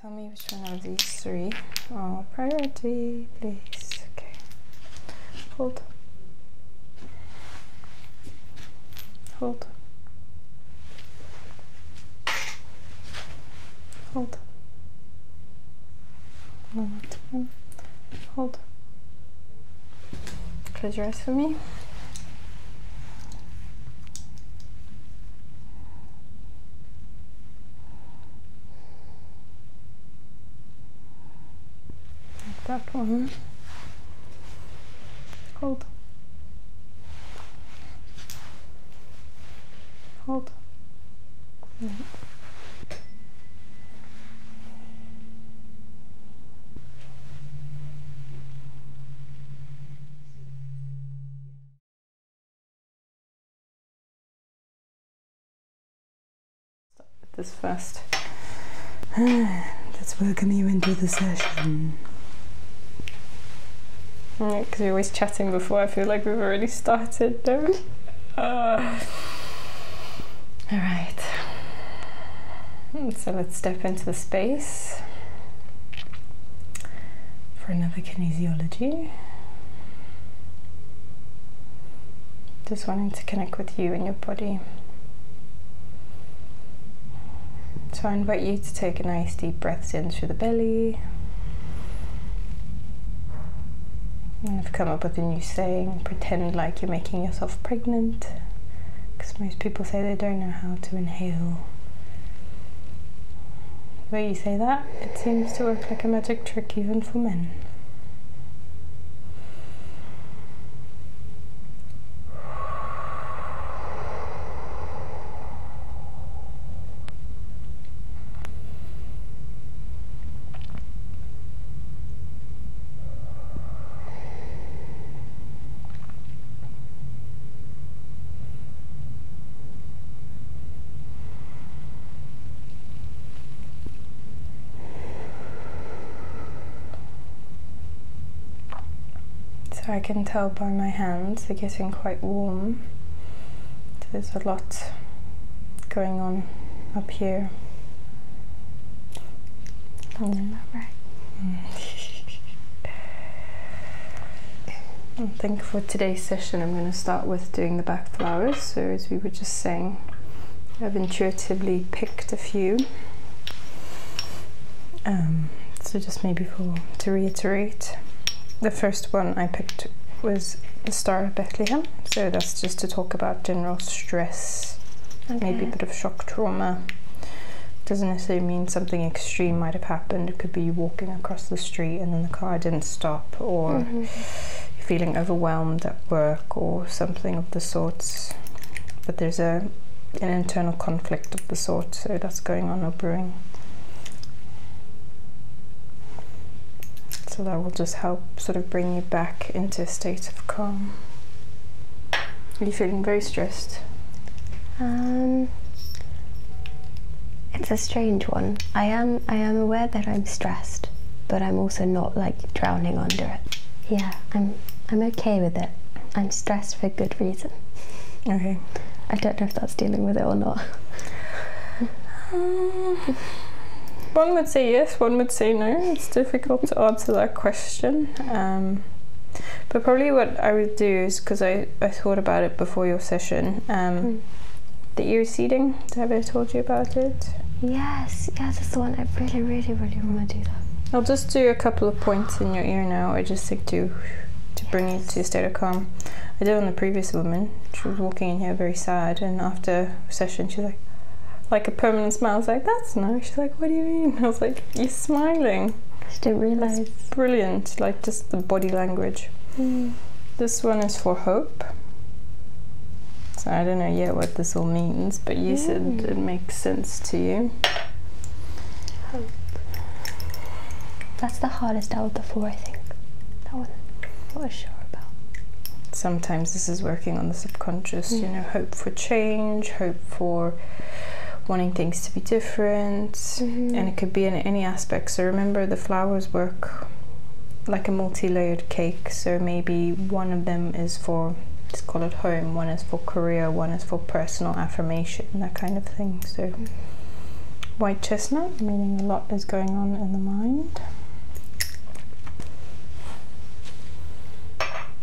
Tell me which one of these three priority, please. Okay, hold, hold, hold, hold. Close your eyes for me. Like that one. Hold. Hold. Yeah. Start with this first. Let's welcome you into the session. Because yeah, we're always chatting before, I feel like we've already started, do all right. So let's step into the space for another kinesiology. Just wanting to connect with you and your body. So I invite you to take a nice deep breaths in through the belly. And I've come up with a new saying pretend like you're making yourself pregnant, because most people say they don't know how to inhale. Where you say that, it seems to work like a magic trick even for men. So I can tell by my hands they're getting quite warm. there's a lot going on up here. Sounds about right. I think for today's repetition, I'm going to start with doing the back flowers. So as we were just saying, I've intuitively picked a few. Um, so just maybe for to reiterate, the first one I picked was the Star of Bethlehem. So that's just to talk about general stress, maybe a bit of shock trauma. Doesn't necessarily mean something extreme might have happened. It could be walking across the street and then the car stop or mm-hmm. feeling overwhelmed at work or something of the sorts. But there's a an internal conflict of the sort, so that's going on or brewing. So that will just help sort of bring you back into a state of calm. Are you feeling very stressed? Um, it's strange one. I am I am aware that I'm stressed, but I'm also not like drowning under it. Yeah, I'm I'm okay with it. I'm stressed for good reason. Okay. I don't know if that's dealing with it or not. Um, one would say yes, one would say no. It's difficult to answer that question. Um, but probably what I would do is because I, I thought about it before your session. Um, hmm. The ear seeding. Have I told you about it? Yes, yeah, that's the one. I really, really, really want to do that. I'll just do a couple of points in your ear now. I just think to to bring you to a state of calm. I did on the previous woman. She was walking in here very sad, and after session, she's like, like a permanent smile. I was like, that's nice. She's like, what do you mean? I was like, you're smiling. I didn't realize. brilliant. Like just the body language. Hmm. This one is for hope. So I don't know yet what this all means, but you said mm. it makes sense to you. Hope. That's the hardest out of the four, I think. That one, I was sure about. Sometimes this is working on the subconscious, you know, mm. hope for change, hope for wanting things to be different, mm-hmm. and it could be in any aspect. So remember the the flowers work like a multi-layered cake so maybe one of them is for let's call it home one is for career one is for personal affirmation that kind of thing so white chestnut meaning a lot is going on in the mind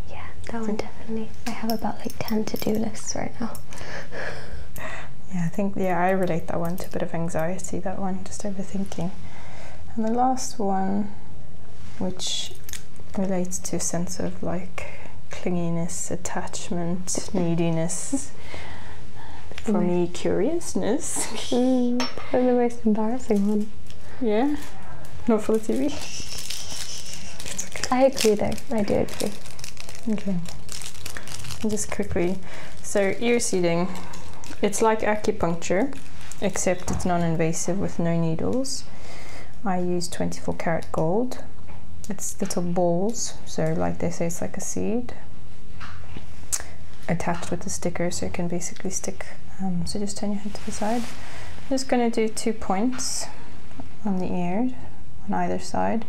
yeah that one definitely i have about like 10 to-do lists right now yeah i think yeah i relate that one to a bit of anxiety, that one, just overthinking. And the last one, which relates to a sense of like clinginess, attachment, neediness. For me, mm. curiousness. mm, the most embarrassing one. Yeah. Not for the TV. I agree, though. I do agree. Okay quickly. So ear seeding, it's like acupuncture, except it's non-invasive with no needles. I use 24 carat gold. It's little balls, so like they say, it's like a seed attached with a sticker, so it can basically stick. Um, so just turn your head to the side. just gonna do two points on the ear on either side,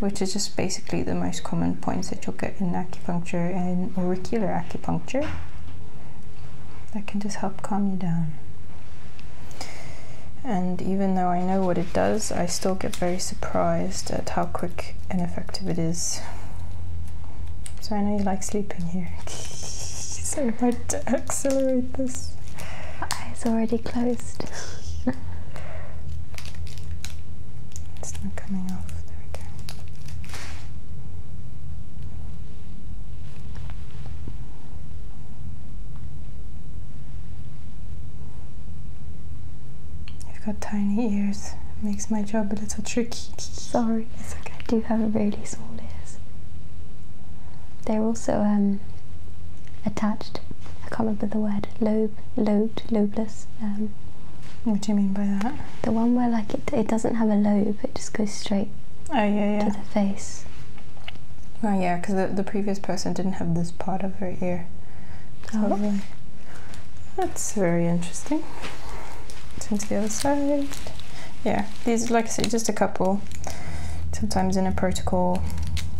which is which basically the most common points that you'll get in acupuncture and auricular acupuncture. That can just help calm you down. And even though I know what it does, I still get very surprised at how quick and effective it is. So I know you like sleeping here. so if I accelerate this. Eyes already closed paste. it's not coming off. There we go. You've got tiny ears. makes my job a little tricky. Sorry, it's okay. I do have really small ears. They're also um, attached. I can't remember the word. Lobe, Lobe. Lobe. Um, what do you mean by that? The one where like it, doesn't have a lobe, it just goes straight oh, to the face. Oh yeah, because the, the previous person didn't have this part of her ear. Oh. Um, that's very interesting. Turn to the other side. Yeah, these like I said, just a couple. Sometimes in a protocol,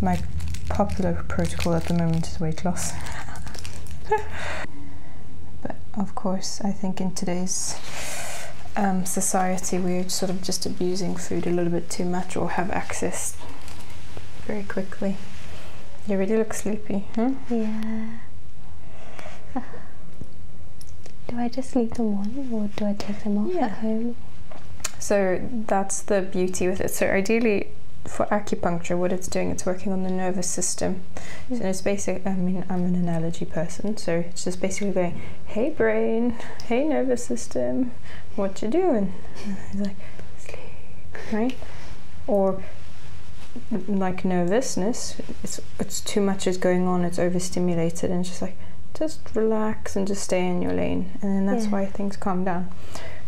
my the protocol at the moment is weight loss. but of course, I think in today's um, society, we're sort of just abusing food a little bit too much or have access very quickly. You really look sleepy, Yeah. Do I just leave them on or do I take them off at home? So that that's the beauty with it. So ideally, for acupuncture, what it's doing, it's working on the nervous system. Mm. So it's basic. I mean, I'm an analogy person, so it's just basically going, "Hey brain, hey nervous system, what you doing?" it's like sleep, right? Or like nervousness, it's too much is going on. It's overstimulated, and it's just like just relax and just stay in your lane, and then that's why things calm down.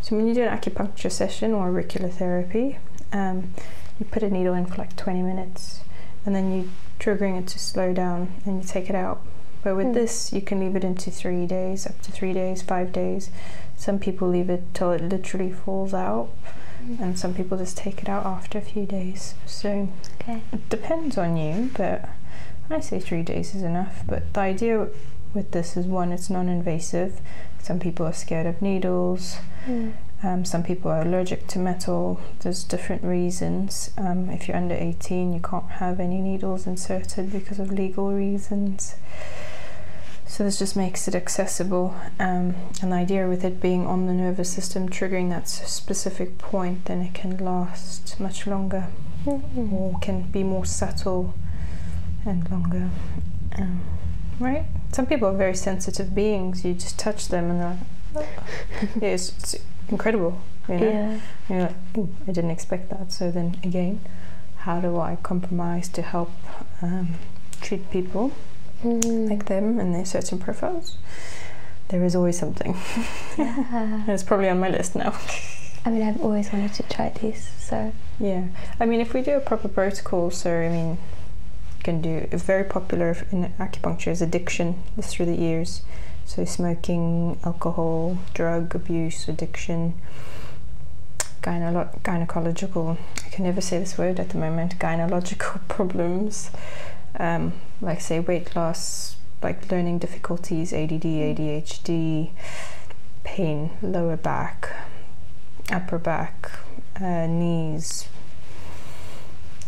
So when you do that acupuncture session or auricular therapy. Um, you put a needle in for like 20 minutes and then you're triggering it to slow down and you take it out. But with hmm. this, you can leave it into three days, up to three days, five days. Some people leave it till it literally falls out, hmm. and some people just take it out after a few days. So it depends on you, but I say three days is enough. But the idea with this is one, it's non invasive. Some people scared of needles. Hmm. Um, some people are allergic to metal. There's different reasons. Um, if you're under 18, you can't have any needles inserted because of legal reasons. So this just makes it accessible. Um, an idea with it being on the nervous system, triggering that specific point, then it can last much longer hmm. or can be more subtle and longer. Um, right? Some people are very sensitive beings. You just touch them and they're oh. it's, incredible. You know? Yeah. you're like, I didn't expect that. So then again, how do I compromise to help um, treat people mm. like them and their certain profiles? There is always something. Yeah. it's probably on my list now. I mean, I've always wanted to try this. so. Yeah. I mean, if we do proper protocol. So I mean, you can do it's very popular in acupuncture is addiction. This through the ears, so smoking, alcohol, drug abuse, addiction. gynecological, I can never say this word at the moment, gynecological problems, um, like say weight loss, like learning difficulties, ADD, ADHD, pain lower back, upper back, uh, knees,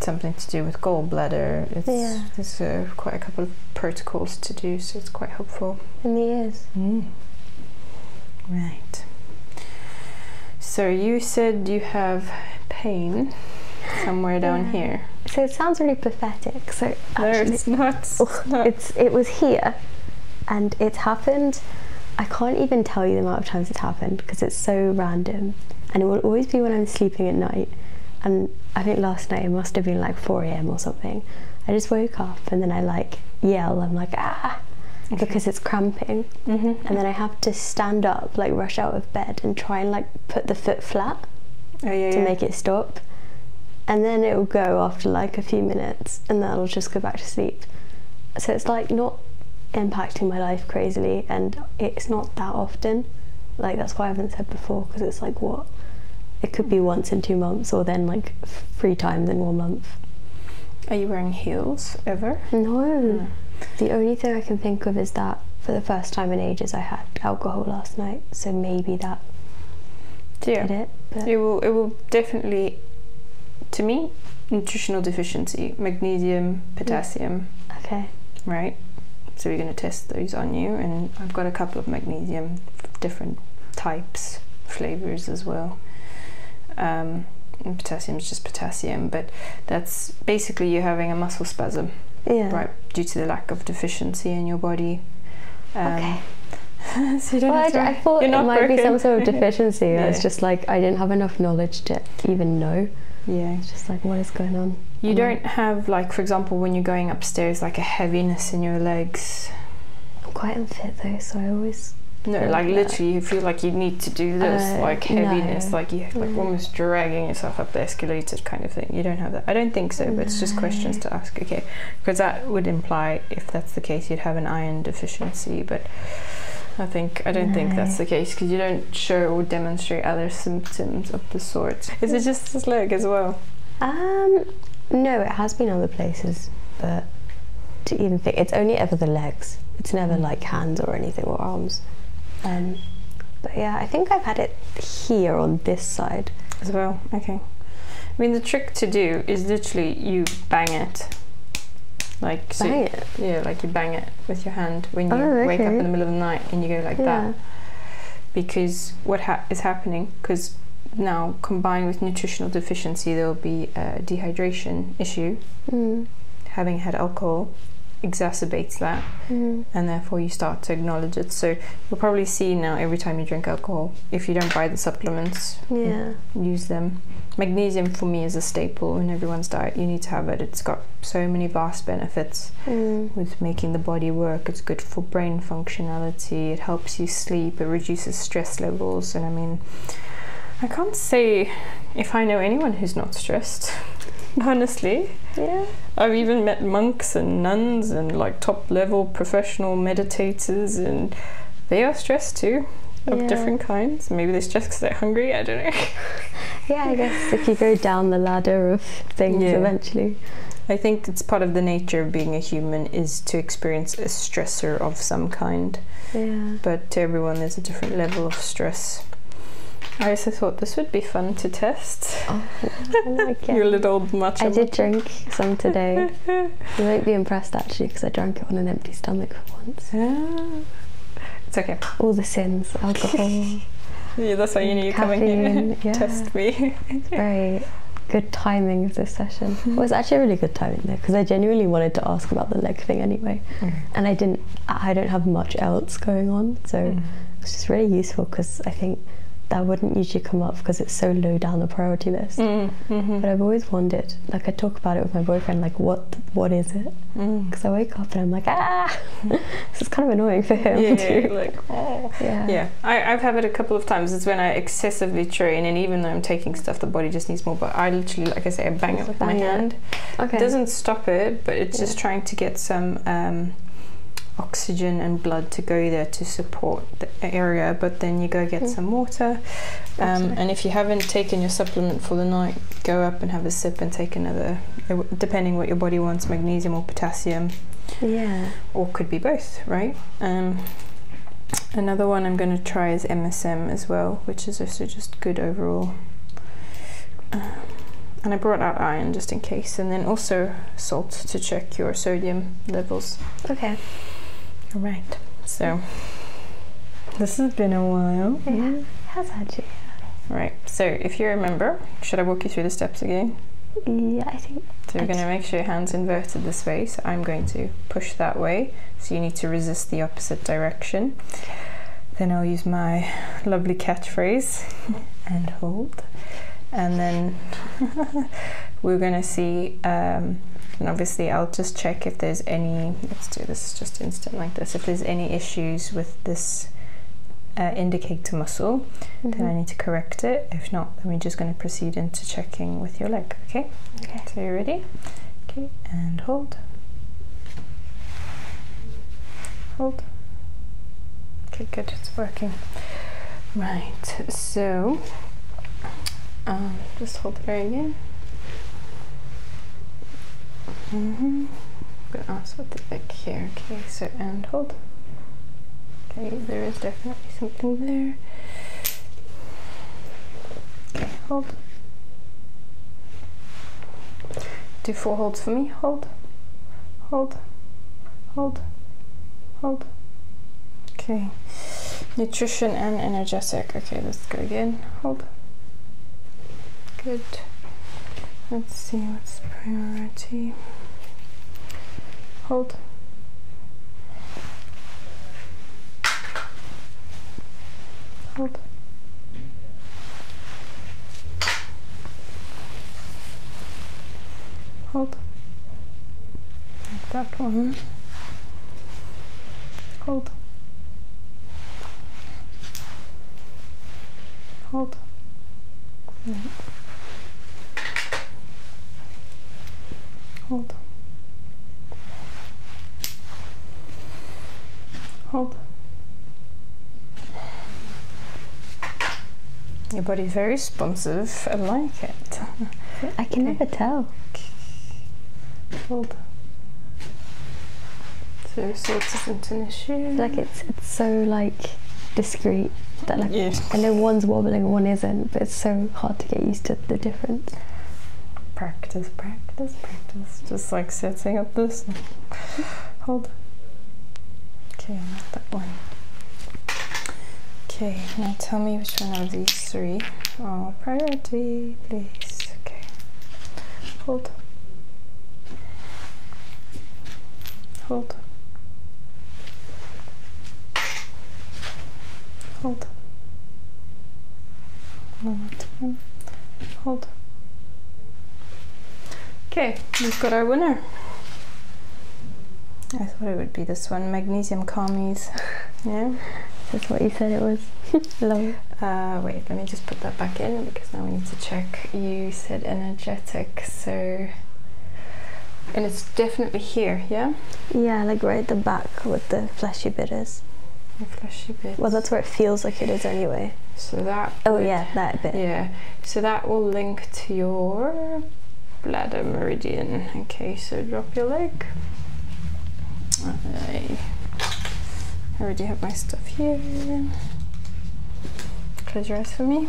something to do with gallbladder. There's uh, quite a couple of protocols to do, so it's quite helpful. And the ears. Mm. Right. So you said you have pain somewhere down here. So it sounds really pathetic. So no, it's not. It's it was here, and it's happened. I can't even tell you the amount of times it's happened because it's so random, and it will always be when I'm sleeping at night. And I think last night it must have been like 4 a.m. or something. I just woke up and then I like yell. I'm like ah, because it's cramping, mm-hmm. and then I have to stand up, like rush out of bed, and try and like put the foot flat oh, to make it stop. And then it go after like a few minutes and then I'll just go back to sleep. So it's like not impacting my life crazily and it's not that often. Like that's why I haven't said before because it's like what? It could be once in two months or then like three times in one month. Are you wearing heels ever? No. Hmm. The only thing I can think of is that for the first time in ages I had alcohol last night, so maybe that yeah. it. will it will definitely, to me, nutritional deficiency, magnesium, potassium. Okay. Right? So we're going to test those on you, and I've got a couple of magnesium, different types, flavors as well. Um, and potassium is just potassium, but that's basically you're having a muscle spasm, right, due to the lack of deficiency in your body. Um, okay. so I, thought it might be some sort of deficiency hesitancy. I was just like, I didn't have enough knowledge to even know. Yeah. It's just like, what is going on? You um, don't have, like, for example, when you're going upstairs, like a heaviness in your legs. I'm quite unfit though, so I always. No, like, literally, you feel like you need to do this, uh, like heaviness, like you're like mm. almost dragging yourself up the escalator kind of thing. You don't have that. I don't think so, but it's just questions to ask. Okay, because that that would imply, if that's the case, you'd have an iron deficiency. But I think I don't think that's the case because you don't show or demonstrate other symptoms of the sort. Is it just the legs as well? Um, no, it has been other places, but to even think, it's only ever the legs. It's never mm. like hands or anything or arms. Um, but yeah, I think I've had it here on this side as well. Okay. I mean, the trick trick to do is literally you bang it. Like so it. Yeah, like you bang it with your hand when you oh, wake up in the middle of the night and you go like that. Because what is happening? Because now combined with nutritional deficiency, there will be a dehydration issue. Mm. Having had alcohol exacerbates that, mm. and therefore you start to acknowledge it. So you'll probably see now every time you drink alcohol, if you don't buy the supplements. Yeah. Use them. Magnesium for me is a staple in everyone's diet. You need to have it. It's got so many vast benefits mm. with making the body work. It's good for brain functionality. It helps you sleep. It reduces stress levels. And I mean, I can't say if I know anyone who's not stressed. Honestly. Yeah. I've even met monks and nuns and like top level professionals meditators and they are stressed too of different kinds. Maybe they're stressed because they're hungry. I don't know. yeah, I guess if you go down the ladder of things eventually. I think it's part of the nature of being a human is to experience a stressor of some kind. Yeah. But to everyone, there's a different level of stress. I also thought this would be fun to test. Oh, oh Your little matcha. I did drink some today. you won't be impressed actually because I drank it on an empty stomach for once. Ah. It's okay. All the sins, alcohol. yeah, that's why you need caffeine, coming in yeah. test me. very good timing of this session. Well, it's actually really good timing there because I genuinely wanted to ask about the leg thing anyway, mm. and I didn't. I don't have much else going on, so mm. it's just really useful because I think that wouldn't usually come up because it's so low down the priority list. Mm, mm-hmm. But I've always wondered, like talk about it with my boyfriend, like what what is it? Because mm. I wake up and I'm like, ah, this is kind of annoying for him too. Yeah, like, ah. yeah. I, have had it a couple of times. It's when I excessively train, and even though I'm taking stuff, the body just needs more. But I literally, like I say, I bang it with my hand. Okay. It doesn't stop it, but it's just trying to get some. Um, oxygen and blood to go there to support the area but then you go get hmm. some water. Um, and if you haven't taken your supplement for the night, go up and have a sip and take another, depending what your body wants, magnesium or potassium. Yeah. Or could be both, right? Um, another one I'm going to try is MSM as well, which is also just good overall. Um, and I brought out iron just in case, and then also salt to check your sodium levels. Okay. All right. So mm-hmm. this has been a while. Yeah, has actually. All right. So if you remember, should I walk you through the steps again? Yeah, I think. So we are going to make sure your hands inverted this way. So I'm going to push that way. So you need to resist the opposite direction. Then I'll use my lovely catchphrase and hold. And then we're going to see, um, and obviously I'll just check if there's any, let's do this just instant like this, if there's any issues with this uh, indicator muscle, then I mm-hmm. need to correct it. If not, then we're just going to proceed into checking with your leg, okay? Okay. So you're ready? Okay, and hold. Hold. Okay, good, it's working. Right, so um, just hold the bag in. -hmm. I'm gonna also put it back here. Okay, so and hold. Okay, there is definitely something there. Okay, hold. Do four holds for me. Hold, hold, hold, hold. Okay. Nutrition and energetic. Okay, let's go again. Hold. Good. Let's see what's priority. Hold. Hold. Hold. Like hold hold hold hold your body's very responsive. I like it. I can never to tell. Hold. So it not an issue. Like it's it's so like discreet that like I know one's wobbling one isn't, but it's so hard to get used to the difference. Practice, practice, practice. Just like setting up this. Hold. Okay, I'm not that one. Okay, now tell me which one of these three. Oh, priority, please. Okay, hold, hold, hold. Hold. Okay, we've got our winner. I thought it would be this one, magnesium comies. yeah, that's what you said it was. Uh, wait, let me just put that back in because now we need to check. You said energetic, so. And it's definitely here, yeah? Yeah, like right the back with the fleshy bit is. The fleshy bit. Well, that's where it feels like it is anyway. So that. Oh, yeah, that bit. Yeah. So that will link to your bladder meridian. Okay, so drop your leg. I already have my stuff here. Close your eyes for me.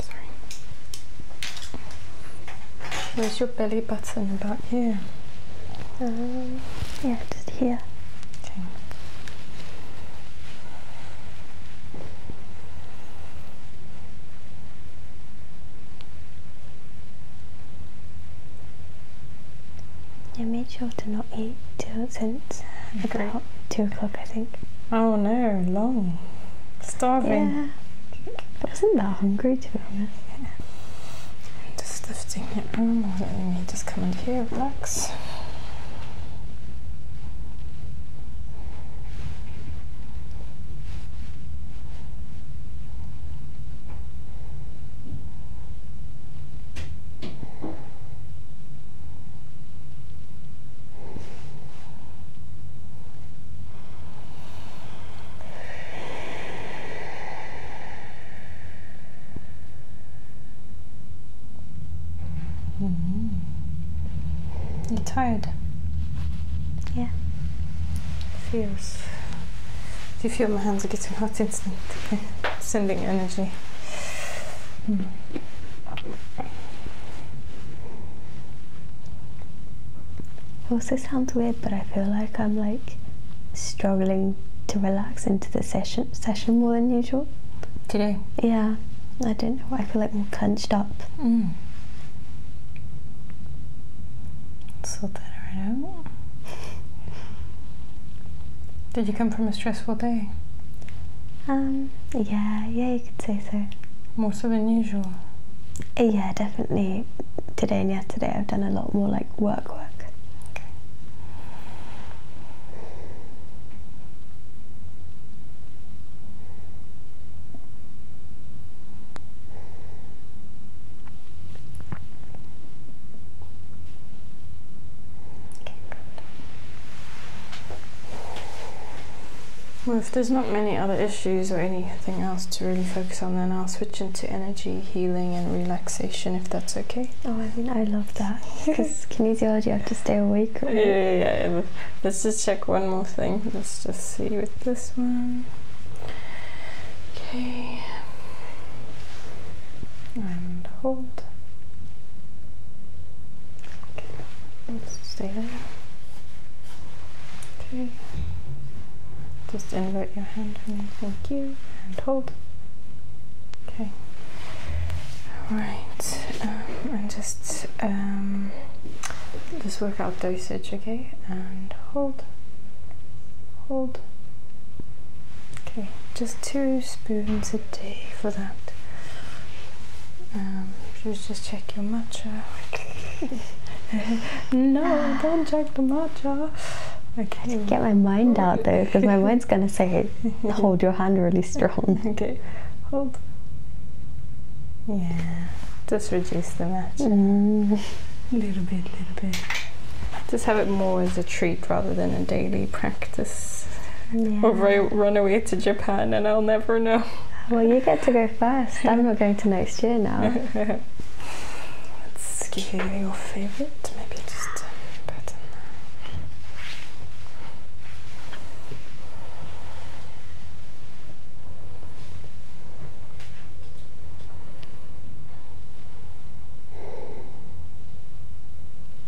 Sorry. Where's your belly button? About here. Um, yeah, just here. Yeah, make sure to not eat till since two o'clock, I think. Oh no, long. Starving. Yeah. I wasn't that hungry, to be honest. Just lifting it room, oh, letting me just come in here, relax. -hmm. You're tired. Yeah. Feels. Do you feel my hands are getting hot instantly? Sending a energy. Hmm. It sounds weird, but I feel like I'm like struggling to relax into the session session more than usual. Today? Yeah. I don't know. I feel like more clenched up. Hmm. Sort that right out. Did you come from a stressful day? Um, yeah, yeah, you could say so. More so than usual. Yeah, definitely. Today and yesterday, I've done a lot more like work work. Well, if there's not many other issues or anything else to really focus on, then I'll switch into energy healing and relaxation if that's okay. Oh, I mean, I love that because kinesiology, you have to stay awake. Right? Yeah, yeah, yeah. Let's just check one more thing. Let's just see with this one. Okay. And Okay, let's stay Okay, just invert your hand, Thank you. And hold. Okay. Right, um, and just um, just work out dosage, okay? And hold, hold. Okay, just two spoons Day for that. Um, just check your matcha. no, don't check the matcha. Okay. Get my mind out there because my mind's gonna say, hold your hand really strong. Okay, hold. Yeah, just reduce the matcha. A mm. Little bit, little bit. Just have it more as a treat rather than a daily practice. Or run away to Japan and I'll never know. Well, you get to go first. I'm not going to next year now. Let's give you your favorite. Maybe just a button.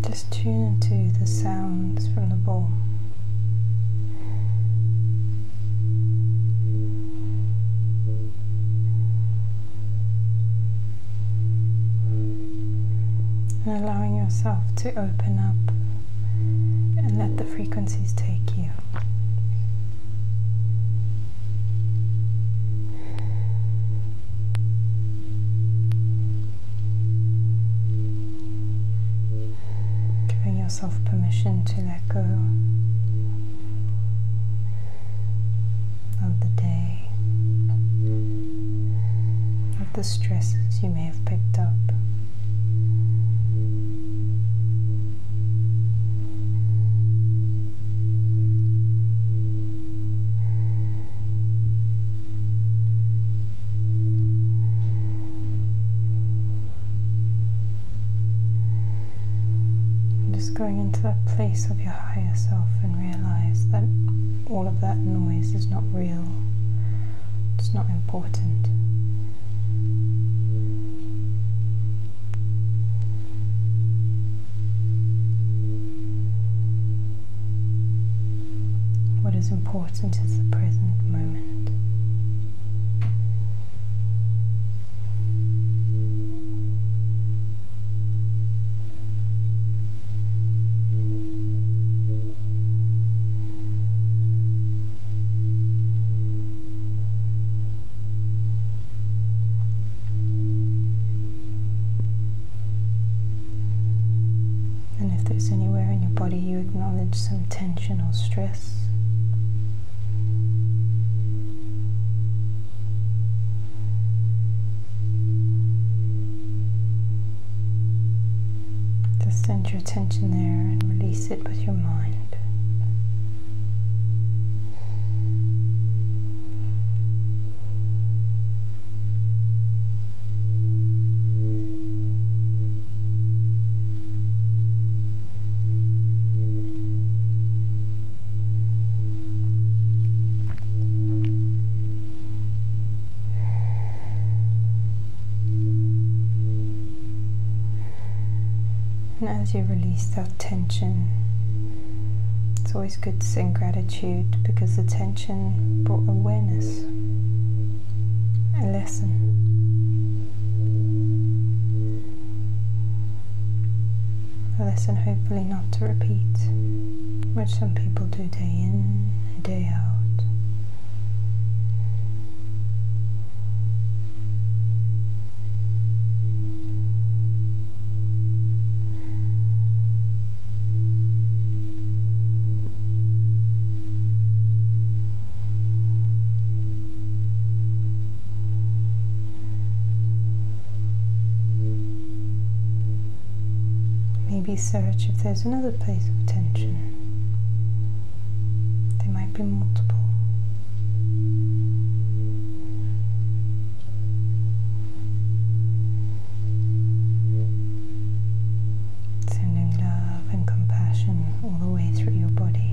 Just tune into the sounds from the bowl, And allowing yourself to to open up and let the frequencies take you. Giving yourself permission to let go of the day, the stresses you may have picked up. Just going into that place of your higher self and realize that all of that noise is not real. It's not important. What is important is the present moment. And if there's anywhere in your body you acknowledge some tension or stress, just send your attention there and release it with your mind. And as you release that tension, it's always good to sing gratitude because the tension brought awareness, a lesson. A lesson, hopefully, not to repeat, which some people do day in Maybe search if there's another another place of tension. There might be multiple. Sending love and compassion all the way through your body.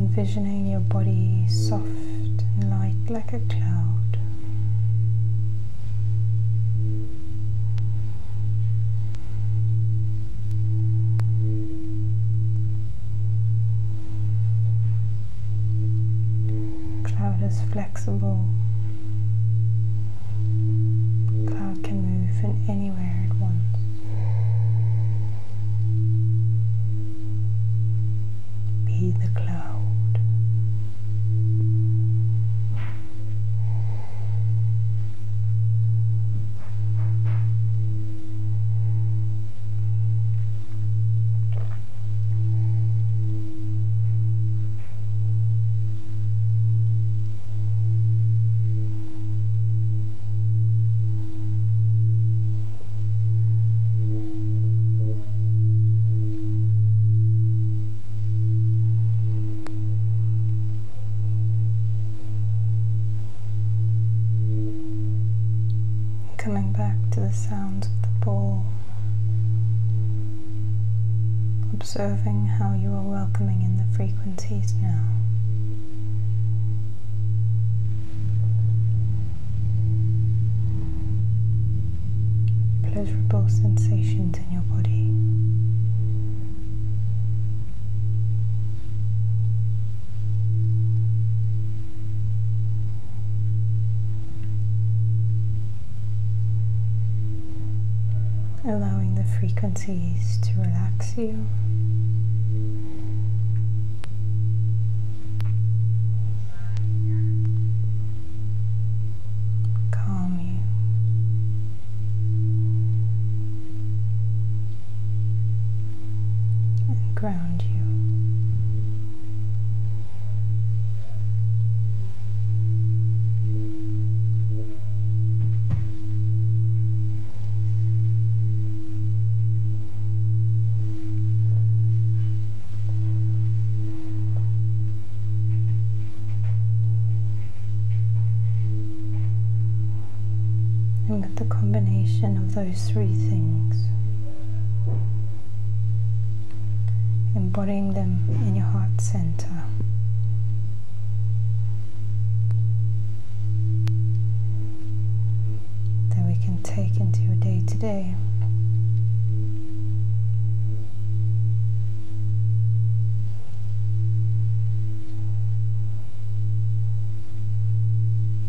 Envisioning your body soft and light like a cloud. Cloud is flexible cloud can move from anywhere at once. Be the cloud. Coming back to the sounds of the ball, observing how you are welcoming in the frequencies now. Pleasurable sensations in your body. Allowing the frequencies to relax you Calm you. And ground you. And with the combination of those three things, embodying them in your heart center, that we can take into your day today.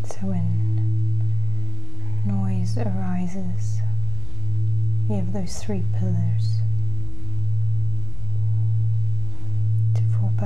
So when noise arises, you have those three pillars to fall back.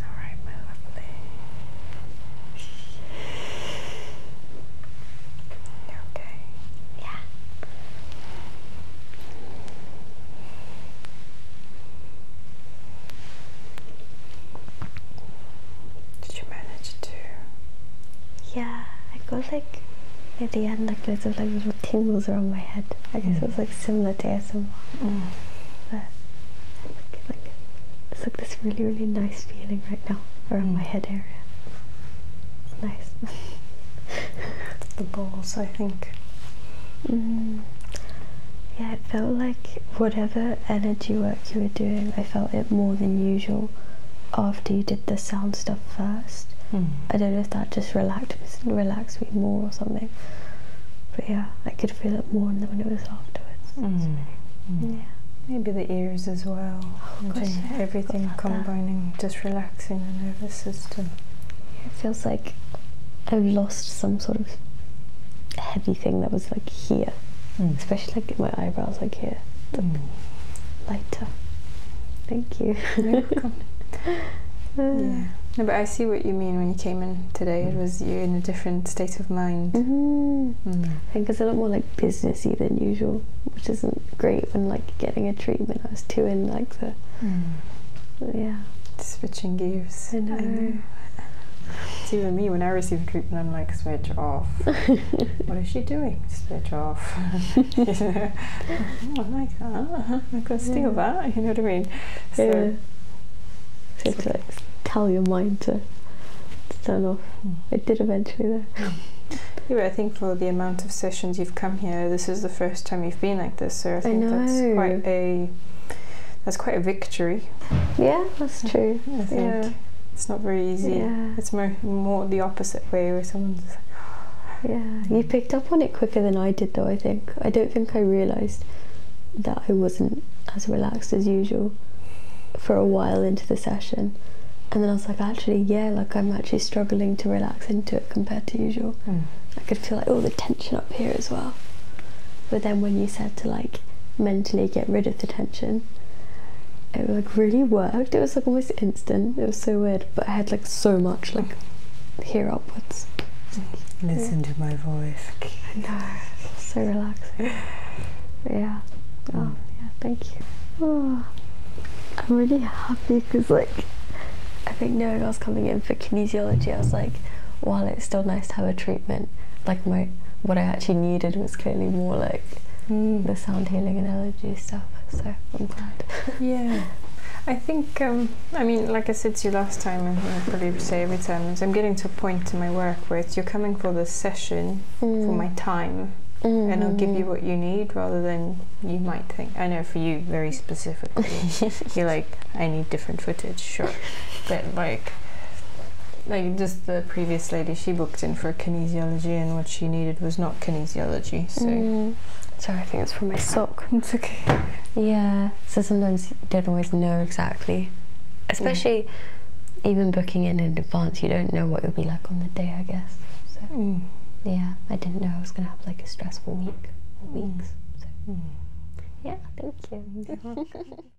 All right, my okay? Yeah. Did you manage to? Yeah, I got like at the end, like little like tingles around my head. I guess mm. it's like similar to ASMR. Mm. But it's like, this really, really nice feeling right now around mm. my head area. nice. the balls, I think. Mm. Yeah, it felt like whatever energy work you were doing, I felt it more than usual after you did the sound stuff first. I don't know just relax, relaxed me more or something. But yeah, I could feel it more than when it was afterwards. Mm. Mm. Yeah. Maybe the ears as well. Oh, everything combining, just relaxing the nervous system. It feels like I've lost some sort of heavy thing that was like here, mm. especially like my eyebrows, like here. Mm. Lighter. Thank you. Uh. yeah. No, but I see what you mean when you came in today. It mm. was you in a different state of mind. Mm-hmm. Mm. I think it's a lot more like businessy than usual, which isn't great when like getting a treatment. I was too in like the mm. yeah switching gears. I know. It's even me when I receive a treatment, I'm like switch off. what is she doing? Switch off. Oh you I like that. Uh -huh. I could steal that. You know what I mean? yeah. So tell your mind to, to turn off. Hmm. It did eventually, Yeah. I think for the amount of sessions you've come here, this is the first time you've been like this, so I think that's quite a that's quite a victory. Yeah, that's true. I think yeah. it's not very easy. Yeah. It's more more the opposite way where someone's yeah, you picked up on it quicker than I did, though, I think. I don't think I realised that I wasn't as relaxed as usual for a while into the session. And then I was like, actually, yeah, like I'm actually struggling to relax into it compared to usual. Hmm. I could feel like all the tension up here as well. But then when you said to like mentally get rid of the tension, it like really worked. It was like almost in it was so weird, but I had like so much like here upwards. Listen to my voice. I know. So relaxing. yeah. Mm. Oh yeah. Thank you. Oh, I'm really happy because like I think knowing I was coming in for kinesiology, I was like, while it's still nice to have a treatment, like my what I actually needed was clearly more like mm. the sound healing and allergy stuff. So I'm glad. Yeah. I think think, um, I mean, like I said to you last time, and I probably say every time, I'm getting to a point in my work where it's you're coming for the session for my mm. time, and I'll give you what you need rather than you might think. I know for you, very specifically, you're like, I need different footage, sure, but like, like just the previous lady, she booked in for kinesiology, and what she needed was not kinesiology. So, mm. sorry, I think it's for my sock. Yeah. So sometimes you don't always know exactly, especially even booking in in advance. You don't know what you'll be like on the day, I guess. So mm. yeah, I didn't know I was gonna have like a stressful week or mm. weeks. So mm. yeah, thank you.